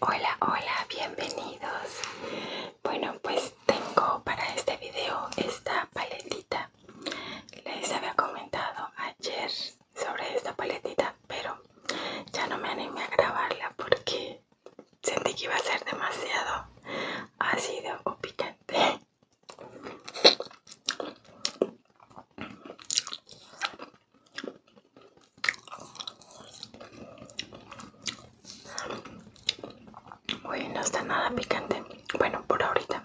Hola, hola, bienvenidos. Bueno, pues tengo para este video esta paletita. Les había comentado ayer sobre esta paletita, pero ya no me animé a grabarla porque sentí que iba a ser demasiado ácido o picante. Uy, no está nada picante. Bueno, por ahorita.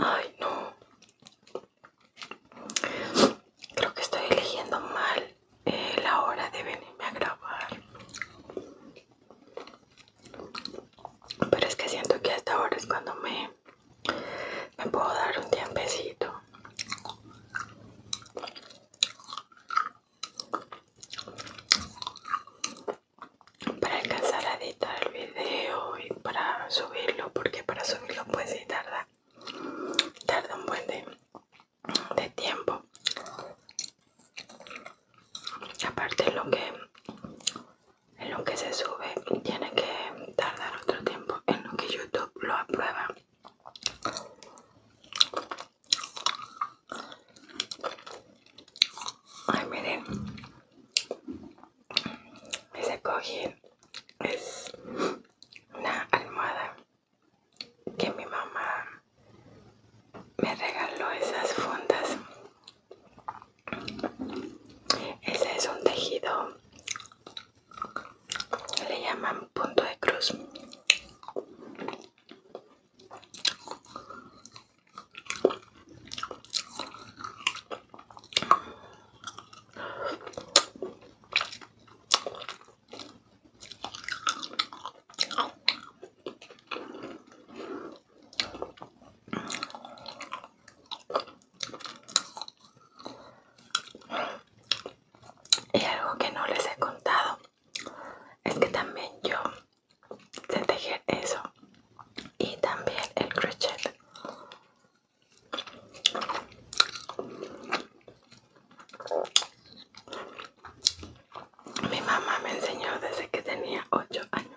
Ay, no. Creo que estoy eligiendo mal la hora de venirme a grabar pero es que siento que hasta ahora es cuando me me puedo dar un tiempecito para alcanzar a editar el video y para subirlo porque para subirlo pues sí tarda tarda un buen de de tiempo aparte lo que en lo que se sube tiene que tardar otro tiempo en lo que youtube lo aprueba ay miren ese cojín es una almohada que mi mamá me regaló esas fundas. Ese es un tejido, le llaman punto de cruz. Y algo que no les he contado es que también yo te tejer eso y también el crochet. Mi mamá me enseñó desde que tenía ocho años.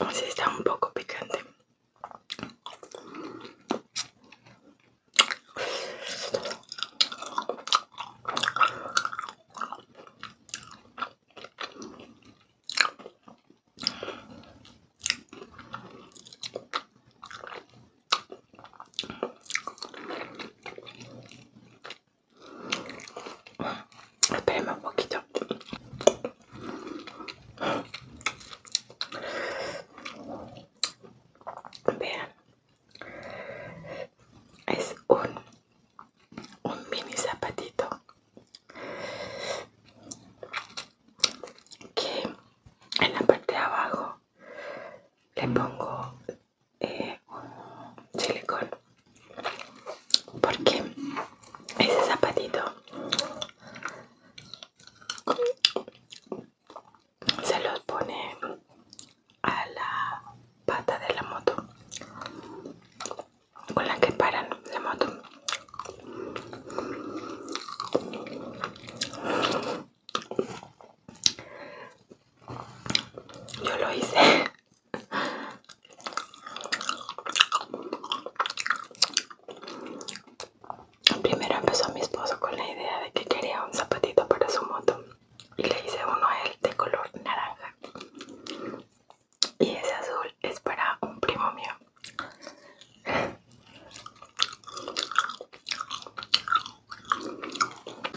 Así está un poco picante. Espérame un poquito. Vean. Es un, un mini zapatito que en la parte de abajo le pongo eh, porque ese zapatito se los pone a la pata de la moto con la que paran la moto yo lo hice. Primero empezó mi esposo con la idea de que quería un zapatito para su moto y le hice uno a él de color naranja. Y ese azul es para un primo mío.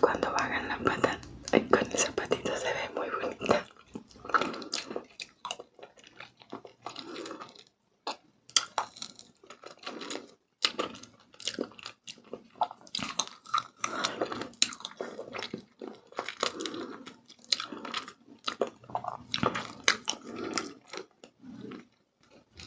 Cuando bajan la pata, con el zapatito se ve muy bonita.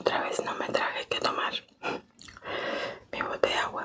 otra vez no me traje que tomar mi bote de agua.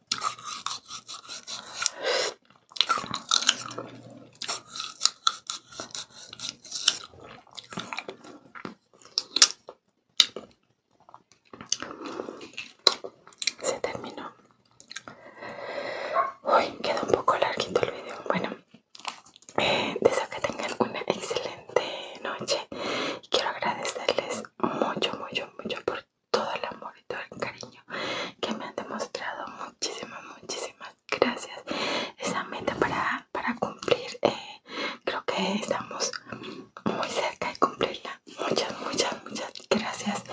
Se terminó. Uy, quedó un poco larguito el video. Bueno, eh, deseo que tengan una excelente noche. Y quiero agradecerles mucho, mucho, mucho por todo el amor y todo el cariño que me han demostrado. Muchísimas, muchísimas gracias. Esa meta para, para cumplir, eh, creo que estamos muy cerca de cumplirla. Muchas, muchas, muchas gracias.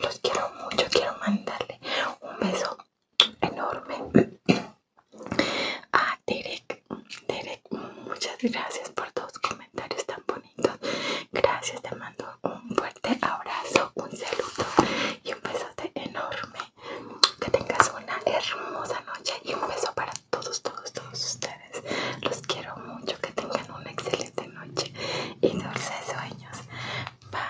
Los quiero mucho. Quiero mandarle un beso enorme a Derek. Derek, muchas gracias por todos comentarios comentarios tan bonitos. Gracias, te mando un fuerte abrazo, un saludo y un besote enorme. Que tengas una hermosa noche y un beso para todos, todos, todos ustedes. Los quiero mucho, que tengan una excelente noche y dulces sueños. Bye.